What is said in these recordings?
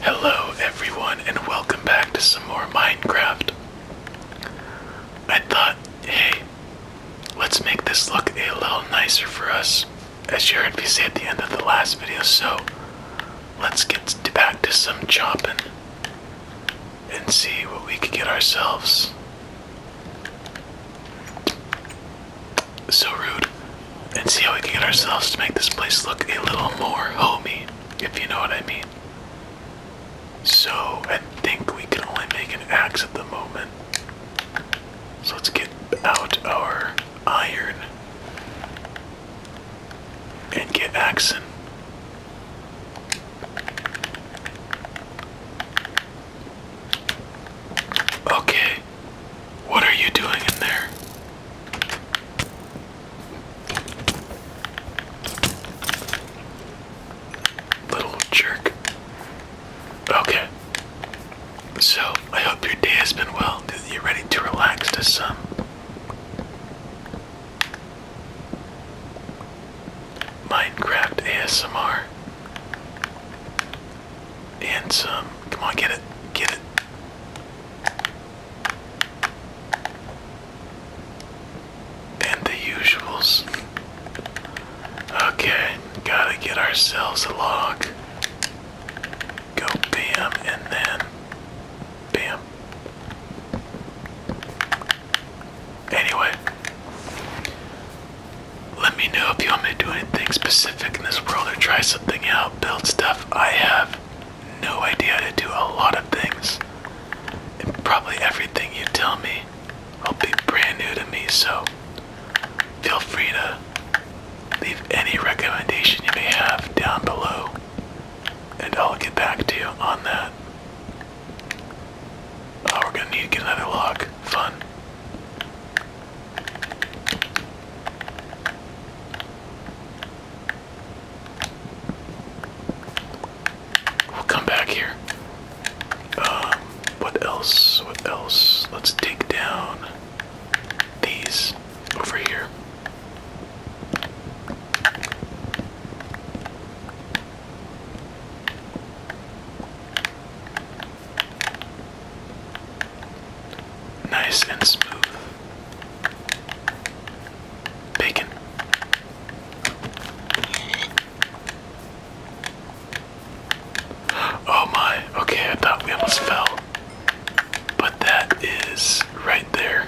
Hello everyone and welcome back to some more Minecraft. I thought, hey, let's make this look a little nicer for us, as you heard me say at the end of the last video, so let's get back to some chopping and see what we can get ourselves so rude, and see how we can get ourselves to make this place look a little more homey, if you know what I mean. So, I think we can only make an axe at the moment. So, let's get out our iron and get axing. Okay, what are you doing in there? Little jerk. Okay. So, I hope your day has been well. you ready to relax to some. Minecraft ASMR. And some. Come on, get it. Get it. And the usuals. Okay, gotta get ourselves a log. Go bam and then bam. Anyway, let me know if you want me to do anything specific in this world or try something out, build stuff. I have no idea how to do a lot of things. And probably everything you tell me will be brand new to me, so feel free to leave any recommendation you may have down below, and I'll get back to you on that. Oh, we're gonna need to get another lock. Fun. We'll come back here. Um, what else? What else? Let's dig down these over here. Nice and smooth. Bacon. Oh my, okay, I thought we almost fell. But that is right there.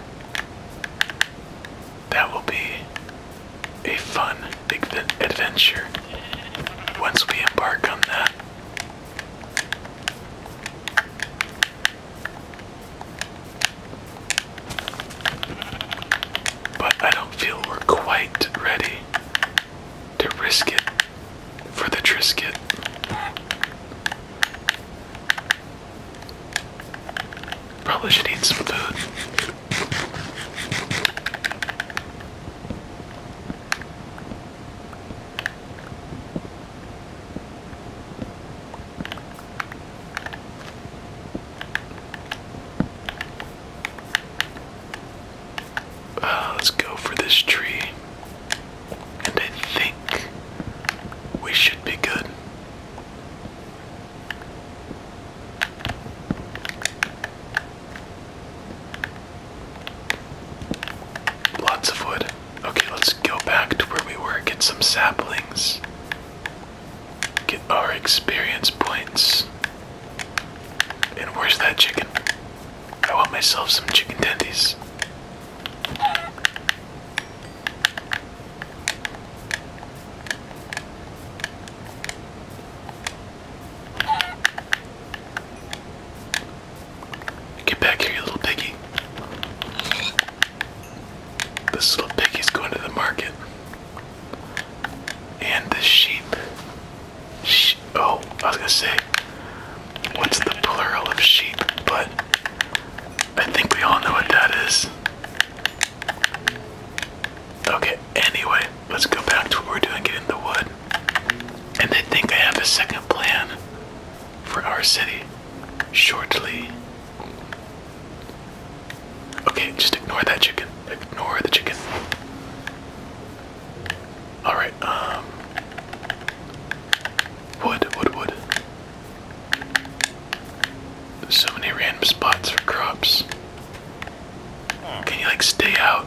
That will be a fun adventure once we embark on that. But I don't feel we're quite ready to risk it for the Trisket. Probably should eat some food. Uh, let's go for this tree. And I think we should be good. Lots of wood. Okay, let's go back to where we were, get some saplings, get our experience points. And where's that chicken? I want myself some chicken tendies. Get back here, you little piggy. This little piggy's going to the market. And the sheep. oh, I was gonna say, what's the plural of sheep? But I think we all know what that is. Okay, anyway, let's go back to what we're doing, in the wood. And they think I have a second plan for our city shortly. Okay, just ignore that chicken. Ignore the chicken. Alright, um. Wood, wood, wood. so many random spots for crops. Can you, like, stay out?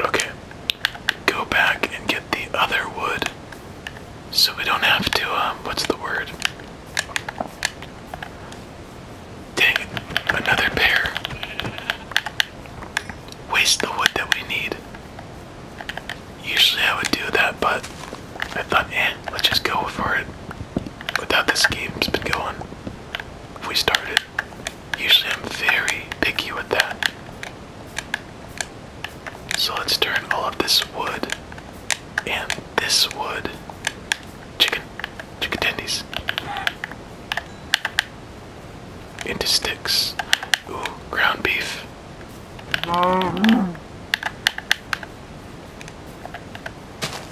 Okay, go back and get the other wood so we don't have to, um, what's the word? Dang it, another pair. Waste the wood that we need. Usually I would do that, but I thought, eh, let's just go for it without this game's been going. we started, usually I'm very picky with that. So let's turn all of this wood and this wood. Chicken, chicken tendies. Into sticks. Ooh, ground beef.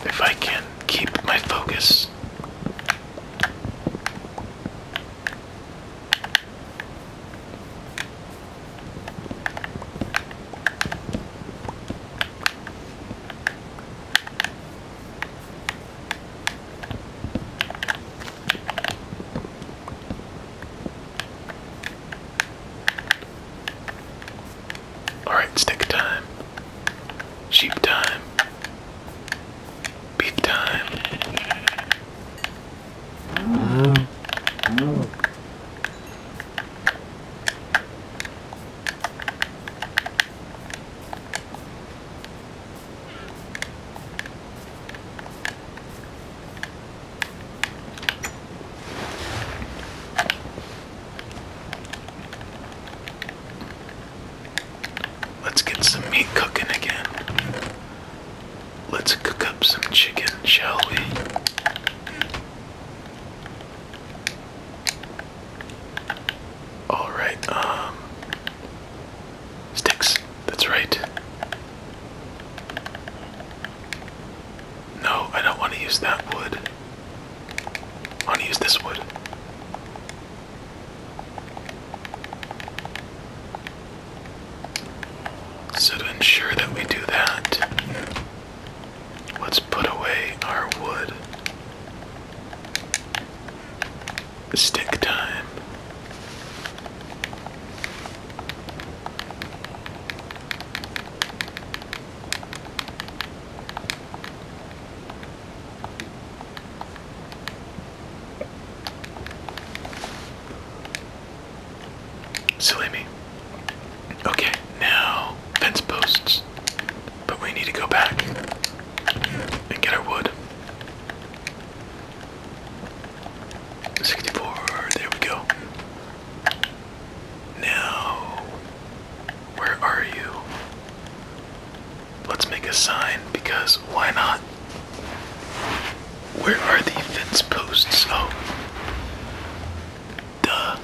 If I can keep my focus. Alright, stick time. Sheep time. Beef time. Let's get some meat cooking again. Let's cook up some chicken, shall we? All right, um, sticks, that's right. No, I don't want to use that wood. I want to use this wood. So, to ensure that we do that, let's put away our wood. Stick time. Silly me. Okay, now fence posts. But we need to go back and get our wood. 64, there we go. No. Where are you? Let's make a sign because why not? Where are the fence posts? Oh. Duh.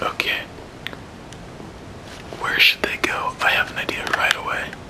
Okay. Where should they go? I have an idea right away.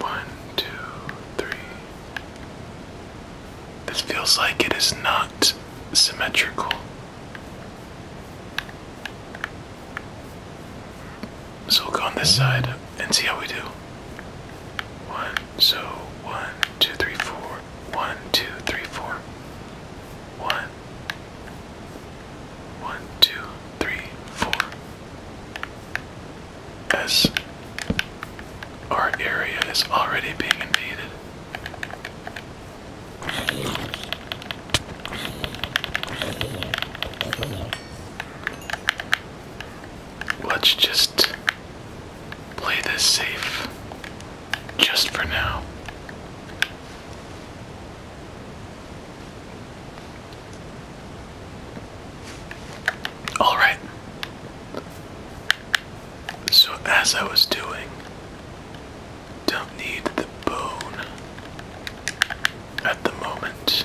One, two, three. This feels like it is not symmetrical. So we'll go on this side and see how we do. One, so one, two, three, four. One, two, three, four. One, one, two, three, four. As our area is already being invaded. Let's just play this safe just for now. All right. So, as I was doing, don't need the bone at the moment.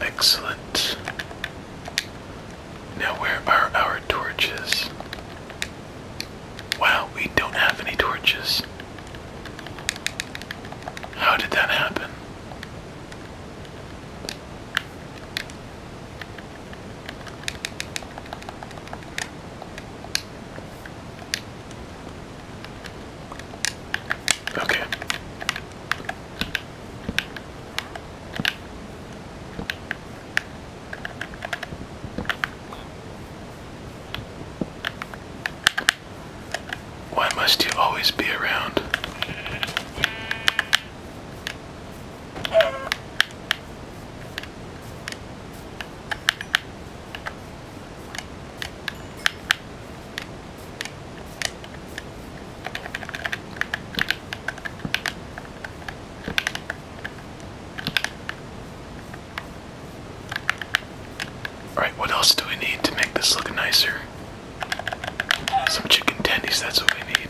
Excellent. Now, where are our torches? Wow, we don't have any torches. How did that happen? Okay. Why must you always be around? Alright, what else do we need to make this look nicer? Some chicken tendies, that's what we need.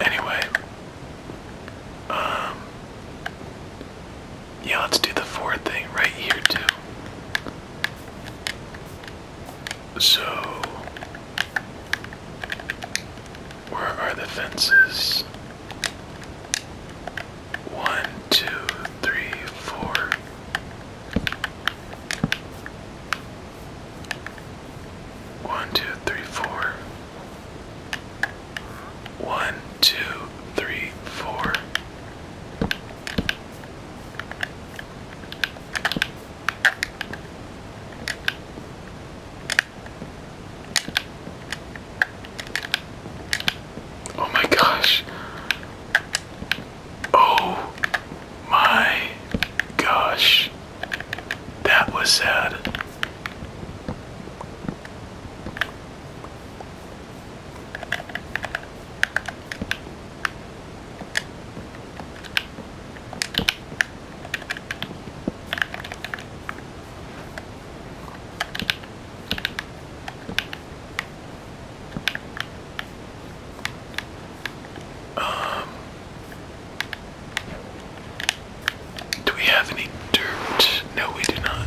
Anyway, um, yeah, let's do the fourth thing right here, too. So, where are the fences? One, two, three, four. One, two, three, four. One, two, three, four. Oh my gosh. Oh my gosh. That was sad. Um do we have any dirt? No, we do not.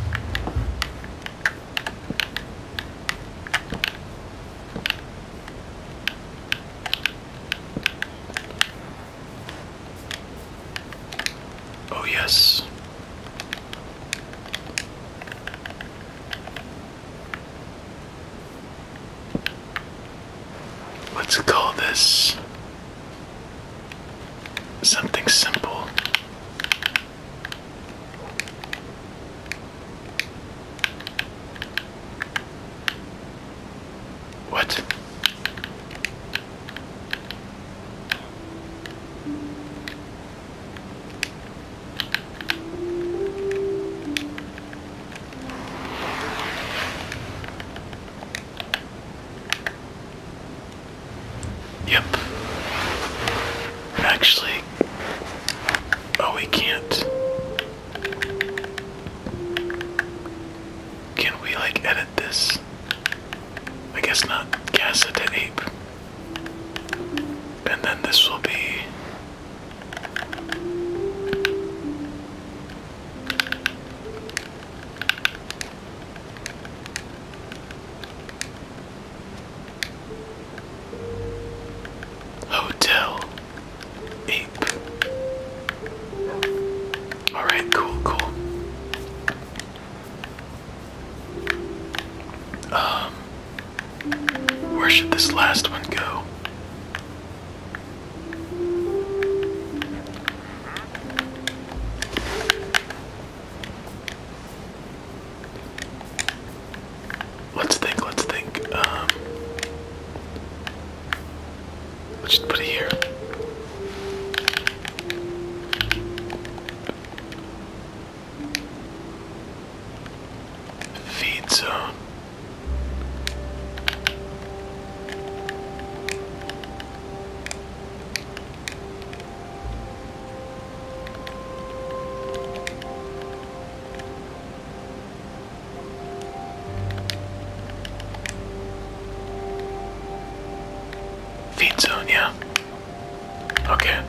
Oh, yes. Let's call this something simple. What? Yep. Actually, oh, we can't. Can we, like, edit this? I guess not. Casa to Ape. And then this will be. Hotel Ape. Alright, cool, cool. Um, where should this last one go? Let's think, let's think. Um, let's just put it here. Feed zone. Feed zone, yeah. Okay.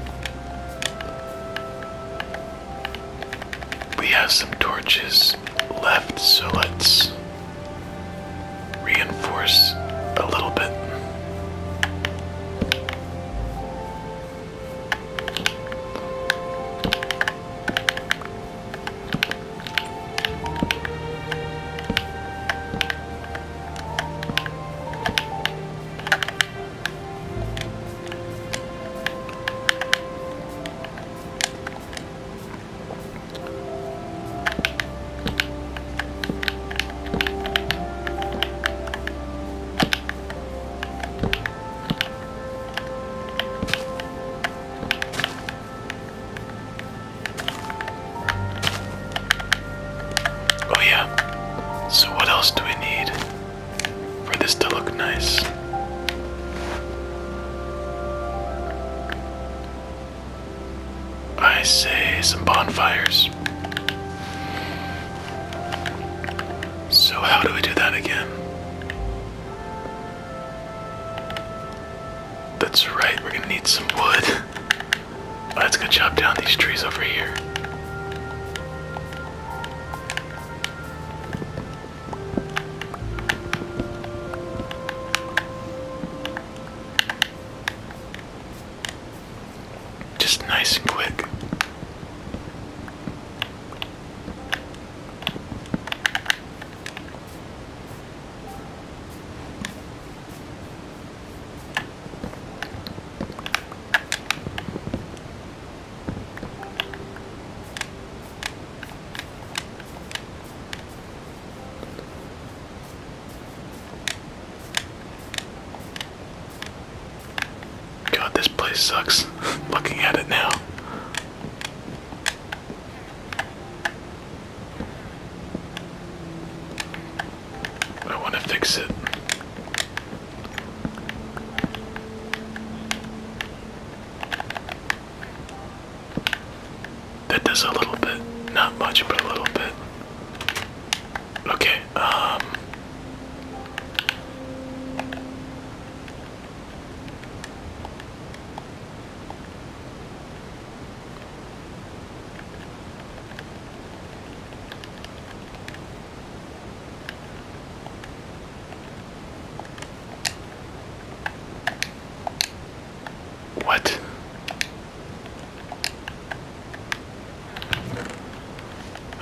We have some torches left, so let's reinforce a little bit. Oh, yeah. So, what else do we need for this to look nice? I say some bonfires. So, how do we do that again? That's right, we're gonna need some wood. Let's go chop down these trees over here. Just nice and quick. God, this place sucks. Looking at it now. I want to fix it. That does a little bit. Not much, but a little bit. Okay, um. What?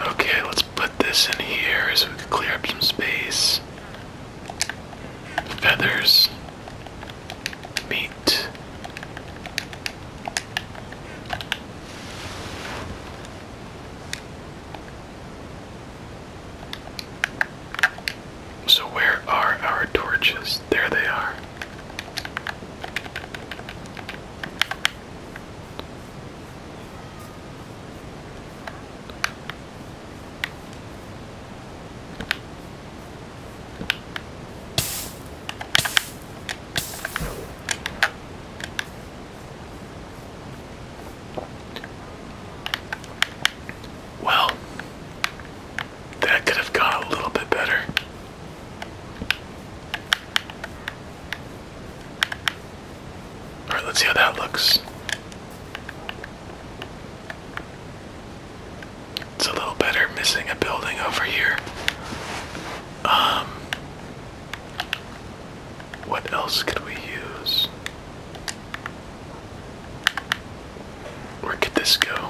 Okay, let's put this in here so we can clear up some space. Feathers. Meat. So, where are our torches? There they are. Well, that could have gone a little bit better. Alright, let's see how that looks. It's a little better, missing a building over here. Um, what else could we use? Where could this go?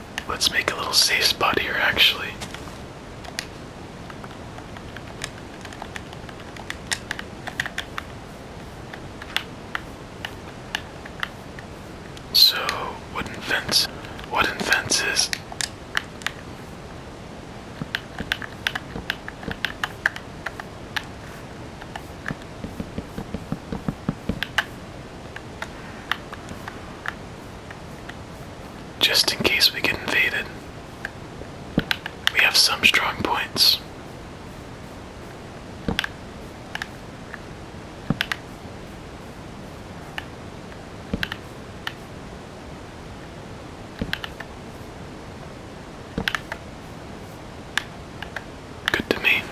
Let's make a little safe spot here, actually. So, wooden fence, wooden fences. Just in case we get invaded, we have some strong points good to me.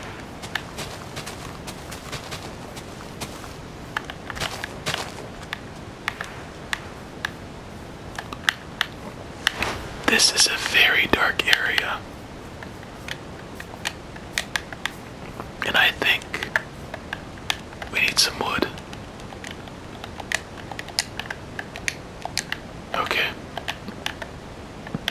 This is a very dark area. And I think we need some wood. Okay.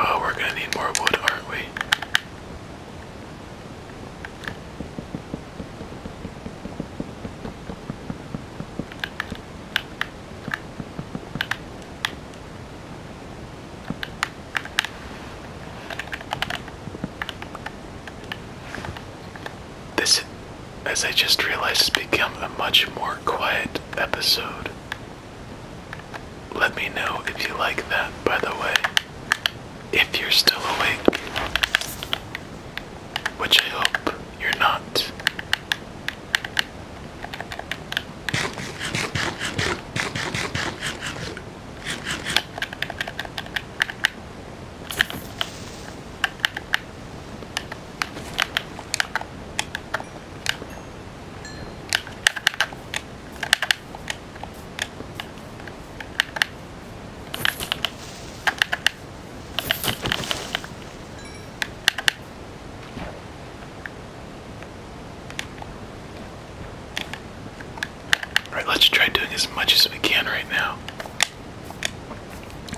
Oh, we're gonna need more wood, aren't we? This, as I just realized, has become a much more quiet episode. Let me know if you like that, by the way. If you're still awake, which I hope you're not. Alright, let's try doing as much as we can right now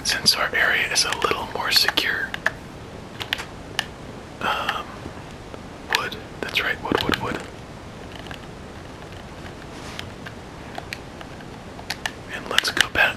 since our area is a little more secure. Um, wood. That's right. Wood, wood, wood. And let's go back.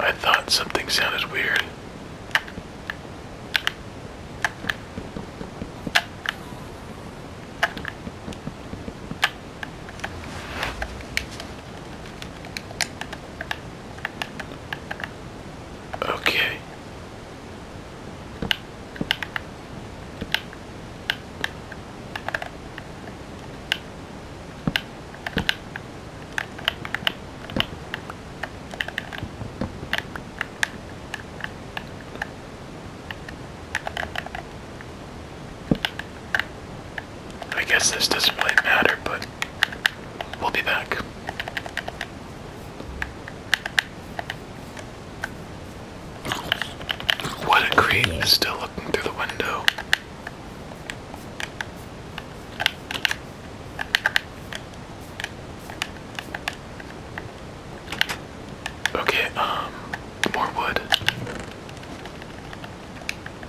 I thought something sounded weird. Okay. I guess this doesn't really matter, but we'll be back. What a creep is still looking through the window. Okay, um, more wood.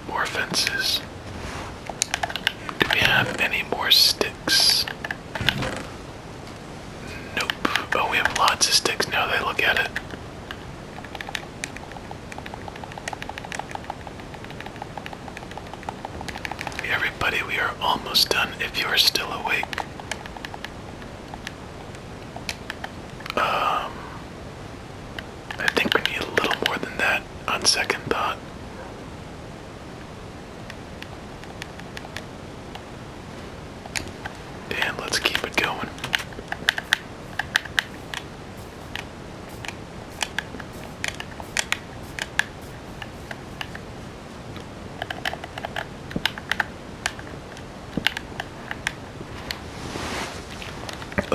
More fences. Do we have any more sticks? Nope. Oh, we have lots of sticks now They look at it. Everybody, we are almost done if you are still awake. Um, I think we need a little more than that on second thought. And let's keep it going.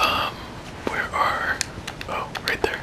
Um, where are, oh, right there.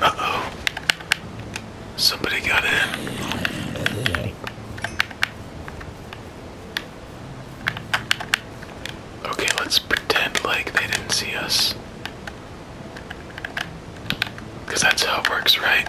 Uh oh. Somebody got in. Okay, let's pretend like they didn't see us. Because that's how it works, right?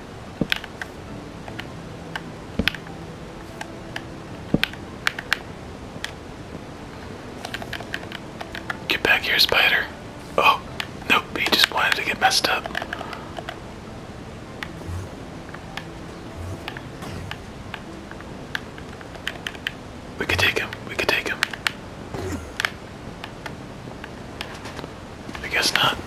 Get back here, spider. Oh, nope, he just wanted to get messed up. We could take him, we could take him. I guess not.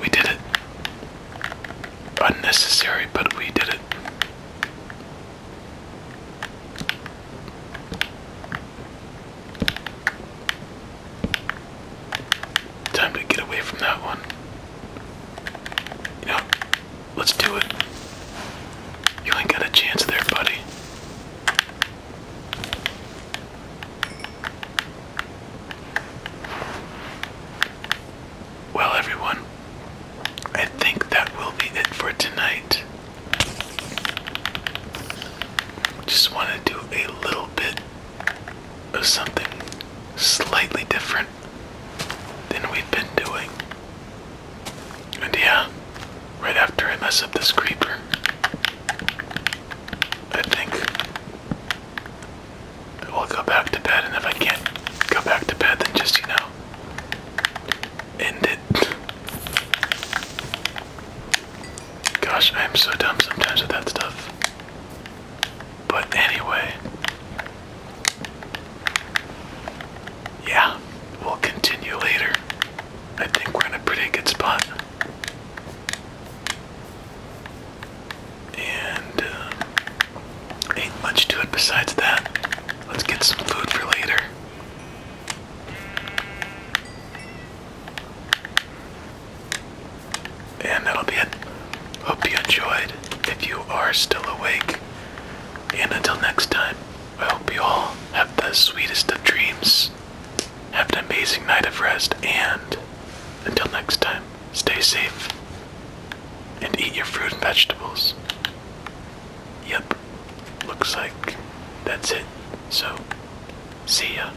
We did it. Unnecessary, but we did it. Time to get away from that one. You let's do it. You ain't got a chance there, buddy. Well, everyone, I think that will be it for tonight. Just want to do a little bit something slightly different than we've been doing. And yeah, right after I mess up this creeper, I think I'll go back to bed. And if I can't go back to bed, then just, you know, end it. Gosh, I am so dumb sometimes with that stuff. But anyway, yeah, we'll continue later. I think we're in a pretty good spot. And uh, ain't much to it besides that. Let's get some food for later. And that'll be it. Hope you enjoyed. If you are still awake. And until next time, I hope you all have the sweetest of dreams. Have an amazing night of rest. And until next time, stay safe. And eat your fruit and vegetables. Yep. Looks like that's it. So, see ya.